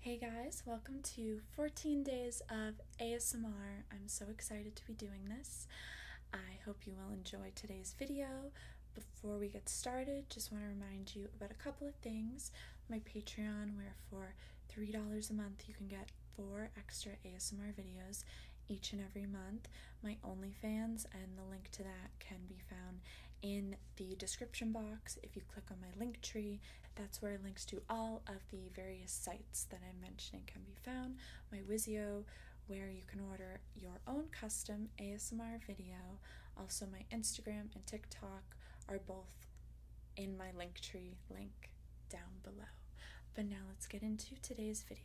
Hey guys, welcome to 14 days of ASMR. I'm so excited to be doing this. I hope you will enjoy today's video. Before we get started, just want to remind you about a couple of things. My Patreon, where for $3 a month you can get four extra ASMR videos each and every month. My OnlyFans and the link to that can be found in the description box. If you click on my link tree, that's where links to all of the various sites that I'm mentioning can be found. My Wizio, where you can order your own custom ASMR video. Also, my Instagram and TikTok are both in my Linktree link down below. But now let's get into today's video.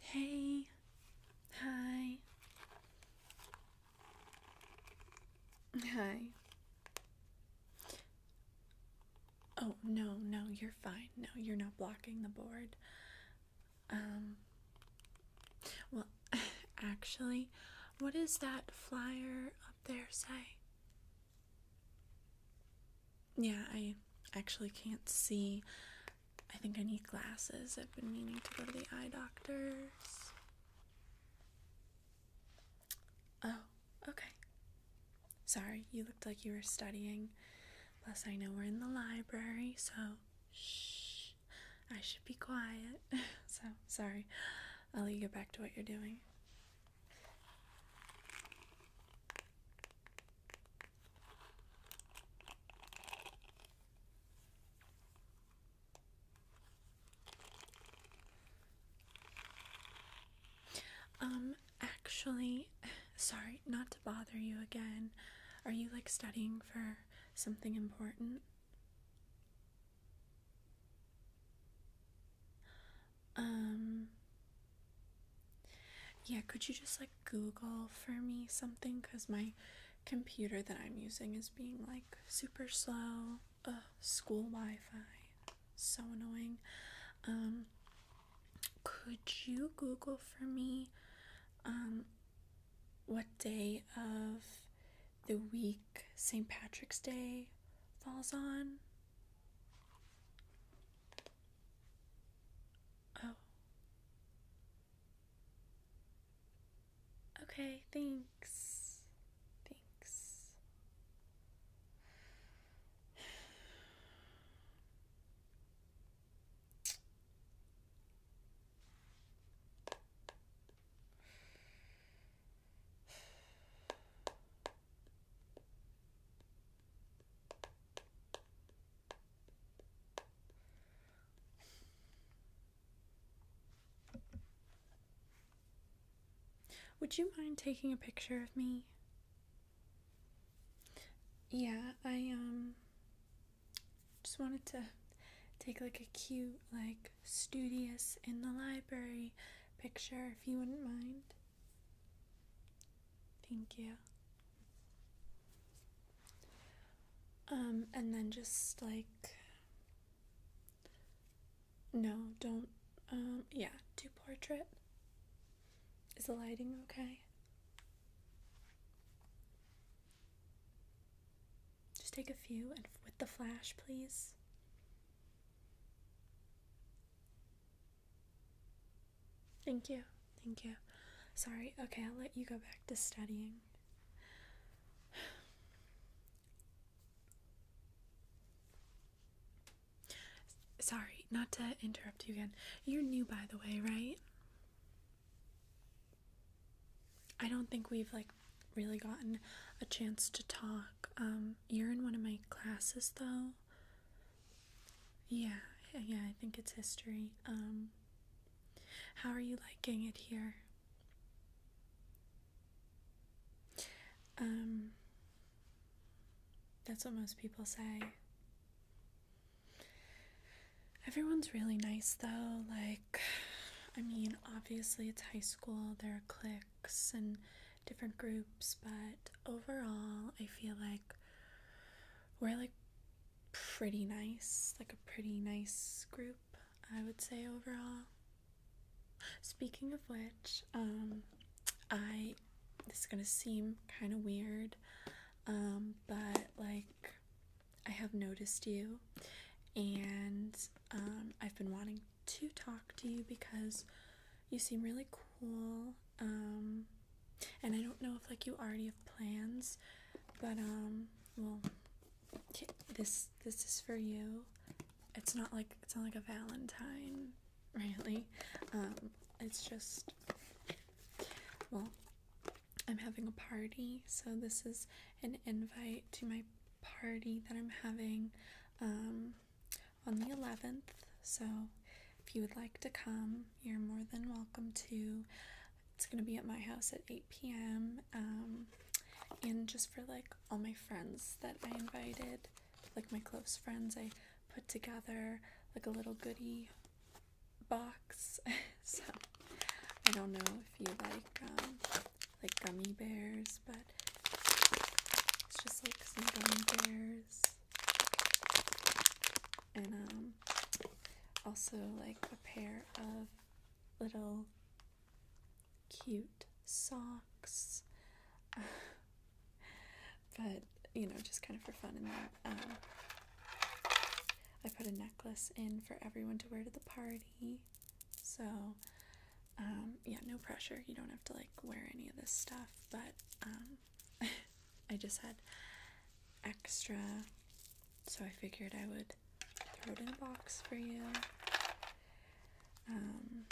Hey, hi, hi. Oh, no, no, you're fine. No, you're not blocking the board. Um, well, actually, what does that flyer up there say? Yeah, I actually can't see. I think I need glasses. I've been needing to go to the eye doctor. Oh, okay. Sorry, you looked like you were studying. Plus, I know we're in the library, so shh. I should be quiet. so, sorry. I'll let you get back to what you're doing. Um, actually, sorry, not to bother you again. Are you like studying for something important? Um, yeah, could you just like Google for me something? Because my computer that I'm using is being like super slow. Ugh, school Wi Fi. So annoying. Um, could you Google for me um, what day of the week St. Patrick's Day falls on? Oh. Okay, thanks. Thanks. Would you mind taking a picture of me? Yeah, I um just wanted to take like a cute like studious in the library picture if you wouldn't mind. Thank you. Um, and then just like, no, don't, um, yeah, do portrait. Is the lighting okay? Just take a few and with the flash, please. Thank you. Thank you. Sorry. Okay, I'll let you go back to studying. Sorry, not to interrupt you again. You're new, by the way, right? I don't think we've like really gotten a chance to talk. Um, you're in one of my classes, though. Yeah, yeah, I think it's history. Um, how are you liking it here? Um, that's what most people say. Everyone's really nice though. Like, I mean, obviously it's high school, there are cliques and different groups, but overall, I feel like we're like pretty nice, like a pretty nice group, I would say overall. Speaking of which, um, I this is gonna seem kind of weird, um, but like I have noticed you, and um, I've been wanting to talk to you because you seem really cool. Um, and I don't know if like you already have plans, but um, well, this this is for you. It's not like it's not like a Valentine, really. Um, it's just well, I'm having a party, so this is an invite to my party that I'm having. Um, on the 11th. So if you would like to come, you're more than welcome to. It's going to be at my house at 8 p.m. Um, and just for like all my friends that I invited, like my close friends, I put together like a little goodie box. so I don't know if you like um, like gummy bears, but it's just like some gummy bears and um, also like a pair of little cute socks. but you know, just kind of for fun, and then um, I put a necklace in for everyone to wear to the party. So, um, yeah, no pressure. You don't have to like wear any of this stuff, but um, I just had extra, so I figured I would throw it in a box for you. Um,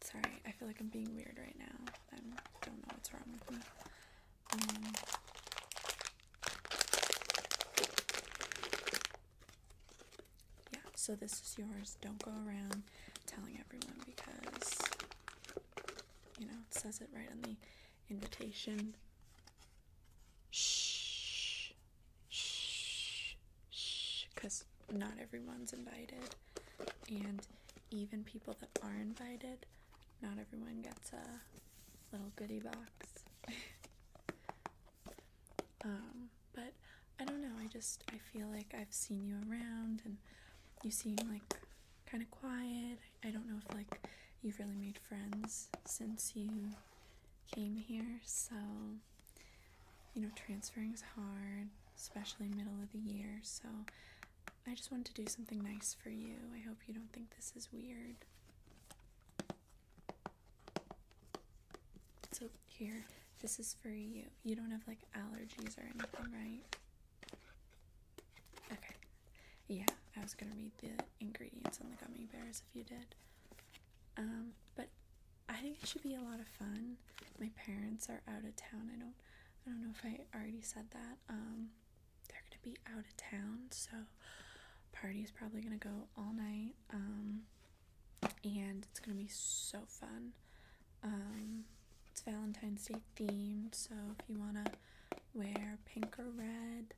sorry, I feel like I'm being weird right now. I don't know what's wrong with me. Um, yeah, so this is yours. Don't go around telling everyone because you know, it says it right on the invitation. Shh, shh, shh, because not everyone's invited, and even people that are invited, not everyone gets a little goodie box. um, but I don't know, I just I feel like I've seen you around and you seem like kind of quiet. I don't know if like you've really made friends since you came here, so you know, transferring is hard, especially middle of the year. So I just wanted to do something nice for you. I hope you don't think this is weird. So here, this is for you. You don't have like allergies or anything, right? Okay. Yeah, I was gonna read the ingredients on the gummy bears if you did. Um, but I think it should be a lot of fun. My parents are out of town. I don't I don't know if I already said that. Um they're gonna be out of town, so party is probably gonna go all night. Um and it's gonna be so fun. Um, it's Valentine's Day themed, so if you want to wear pink or red,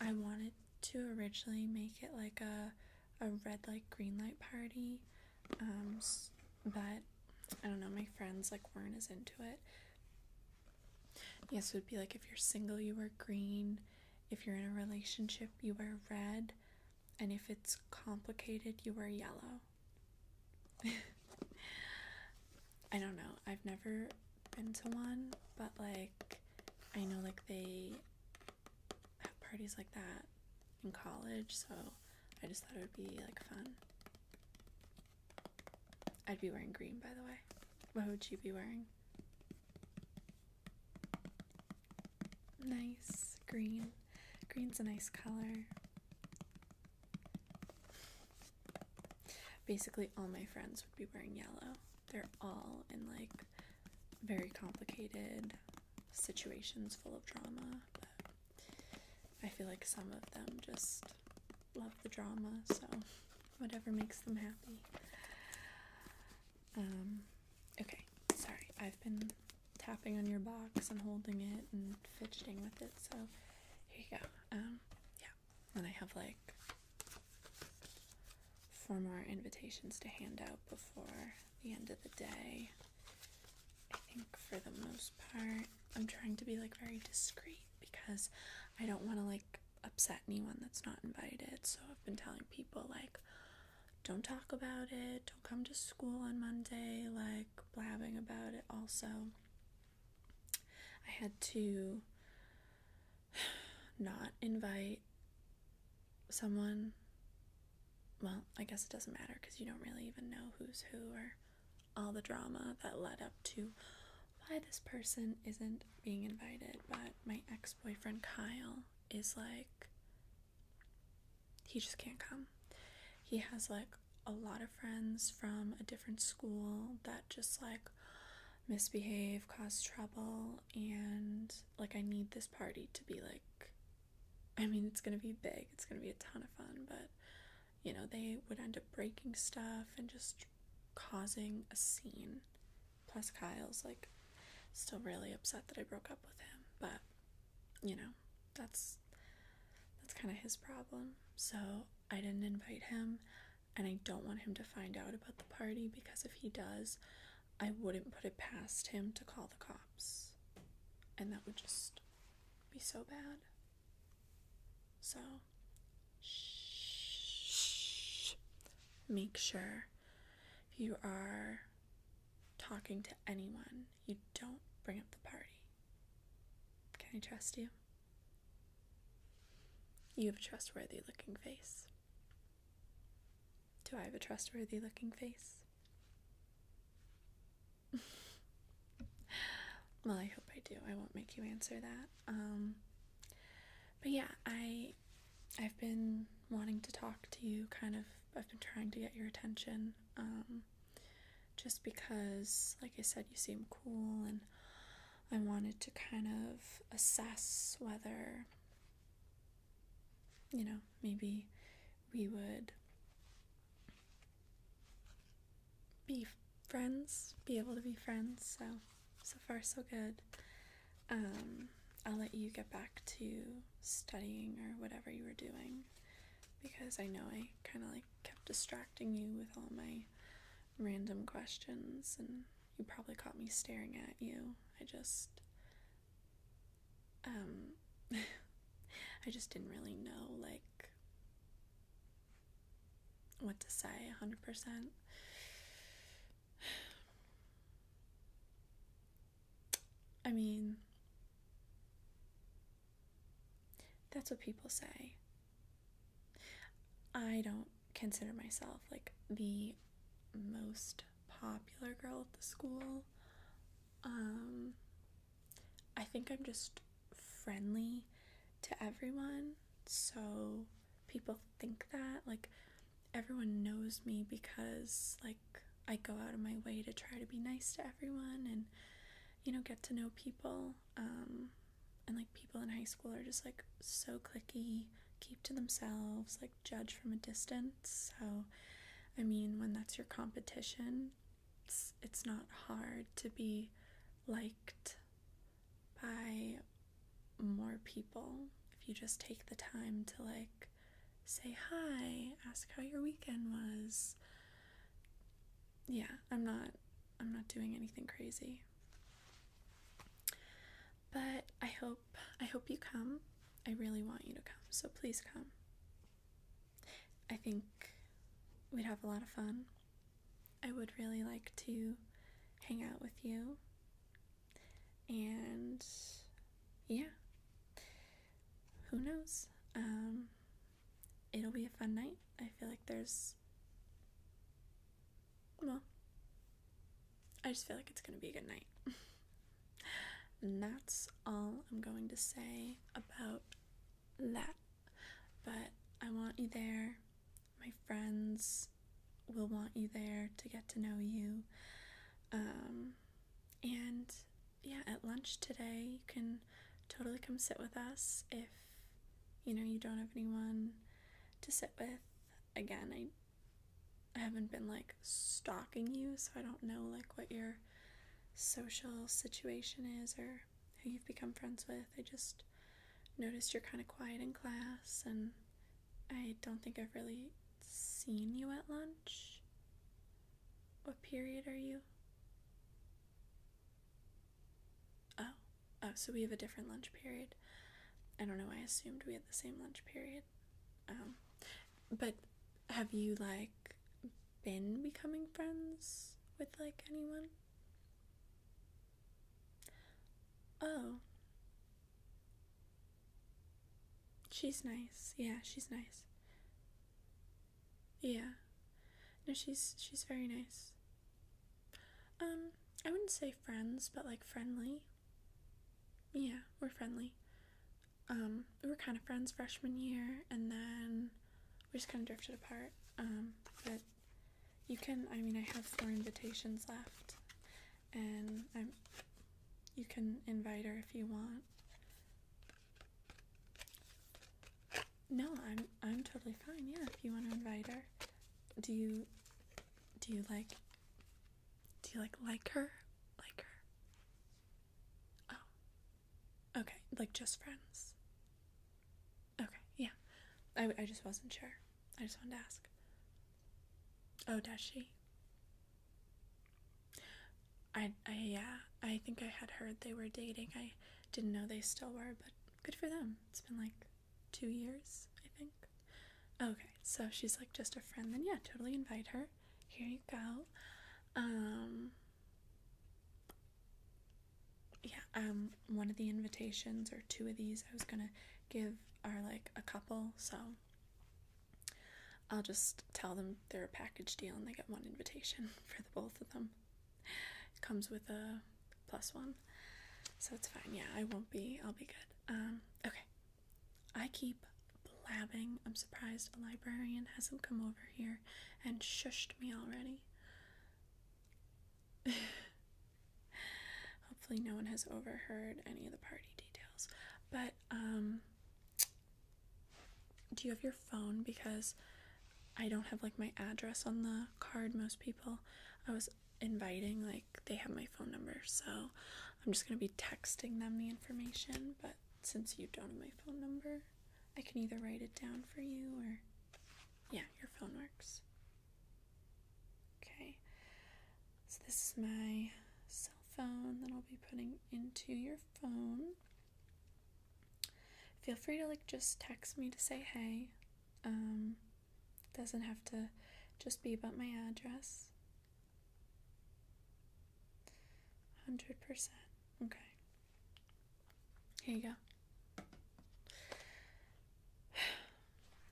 I wanted to originally make it like a a red like green light party, um, but I don't know, my friends like weren't as into it. Yes, it would be like if you're single, you wear green. If you're in a relationship, you wear red. And if it's complicated, you wear yellow. I don't know. I've never been to one, but like I know like they have parties like that in college, so I just thought it would be like fun. I'd be wearing green, by the way. What would you be wearing? Nice green. Green's a nice color. Basically, all my friends would be wearing yellow. They're all in like very complicated situations full of drama, I feel like some of them just love the drama, so whatever makes them happy. Um, okay, sorry, I've been tapping on your box and holding it and fidgeting with it, so here you go. Um, yeah. And I have like four more invitations to hand out before the end of the day. I think for the most part, I'm trying to be like very discreet because I don't want to like upset anyone that's not invited. So I've been telling people like, don't talk about it, don't come to school on Monday, like, blabbing about it also. I had to not invite someone. Well, I guess it doesn't matter because you don't really even know who's who or all the drama that led up to why this person isn't being invited. But my ex boyfriend Kyle is like, he just can't come. He has like a lot of friends from a different school that just like misbehave, cause trouble, and like I need this party to be like I mean, it's going to be big. It's going to be a ton of fun, but you know, they would end up breaking stuff and just causing a scene. Plus Kyle's like still really upset that I broke up with him, but you know, that's that's kind of his problem. So I didn't invite him, and I don't want him to find out about the party because if he does, I wouldn't put it past him to call the cops. And that would just be so bad. So, shh. Make sure you are talking to anyone you don't bring up the party. Can I trust you? You have a trustworthy looking face. Do I have a trustworthy looking face? well, I hope I do. I won't make you answer that. Um, but yeah, I I've been wanting to talk to you kind of I've been trying to get your attention. Um, just because, like I said, you seem cool, and I wanted to kind of assess whether, you know, maybe we would be friends, be able to be friends. So, so far, so good. Um, I'll let you get back to studying or whatever you were doing because I know I kind of like kept distracting you with all my random questions, and you probably caught me staring at you. I just. Um. I just didn't really know, like, what to say 100%. I mean, that's what people say. I don't consider myself like the most popular girl at the school. Um, I think I'm just friendly to everyone, so people think that. Like, everyone knows me because, like, I go out of my way to try to be nice to everyone and, you know, get to know people. Um, and like people in high school are just like so clicky, keep to themselves, like judge from a distance. So, I mean, when that's your competition, it's not hard to be liked by more people if you just take the time to like say hi, ask how your weekend was, yeah, I'm not I'm not doing anything crazy. But I hope I hope you come. I really want you to come. So please come. I think we'd have a lot of fun. I would really like to hang out with you. And yeah. Who knows? Um it'll be a fun night. I feel like there's. Well, I just feel like it's gonna be a good night. and that's all I'm going to say about that. But I want you there. My friends will want you there to get to know you. Um, and yeah, at lunch today, you can totally come sit with us if you know you don't have anyone to sit with. Again, I I haven't been like stalking you, so I don't know like what your social situation is or who you've become friends with. I just noticed you're kind of quiet in class, and I don't think I've really seen you at lunch. What period are you? Oh. oh, so we have a different lunch period. I don't know. I assumed we had the same lunch period. Um, but have you like been becoming friends with like anyone? Oh. She's nice. Yeah, she's nice. Yeah. No, she's she's very nice. Um, I wouldn't say friends, but like friendly. Yeah, we're friendly. Um, we were kind of friends freshman year, and then we just kind of drifted apart. Um, but you can, I mean, I have four invitations left, and I'm, you can invite her if you want. No, I'm I'm totally fine. Yeah, if you want to invite her, do you do you like do you like like her like her? Oh, okay, like just friends. Okay, yeah, I I just wasn't sure. I just wanted to ask. Oh, does she? I I yeah, I think I had heard they were dating. I didn't know they still were, but good for them. It's been like two years, I think. Okay, so she's like just a friend, then yeah, totally invite her. Here you go. Um, yeah, um, one of the invitations or two of these I was gonna give are like a couple, so I'll just tell them they're a package deal and they get one invitation for the both of them. It comes with a plus one, so it's fine. Yeah, I won't be. I'll be good. Um, okay. I keep blabbing. I'm surprised a librarian hasn't come over here and shushed me already. Hopefully, no one has overheard any of the party details. But, um, do you have your phone? Because I don't have like my address on the card. Most people, I was inviting, like they have my phone number, so I'm just gonna be texting them the information. But since you don't have my phone number, I can either write it down for you or yeah, your phone works. Okay, so this is my cell phone that I'll be putting into your phone feel free to like just text me to say hey. Um, doesn't have to just be about my address. 100%. Okay. Here you go.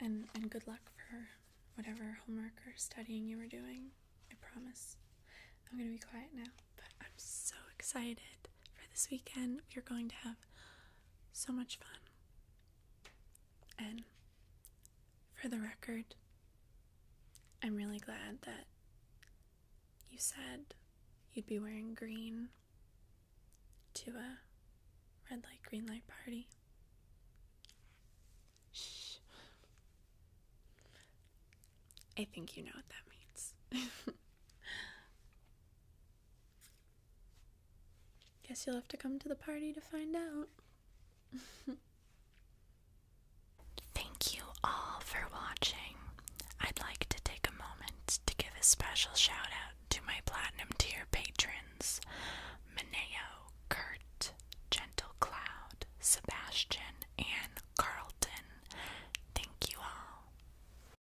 And and good luck for whatever homework or studying you were doing. I promise. I'm going to be quiet now, but I'm so excited for this weekend. We're going to have so much fun. And for the record, I'm really glad that you said you'd be wearing green to a red light, green light party. Shh. I think you know what that means. Guess you'll have to come to the party to find out. Thank you all for watching. I'd like to take a moment to give a special shout out to my platinum tier patrons Mineo, Kurt, Gentle Cloud, Sebastian, and Carlton. Thank you all.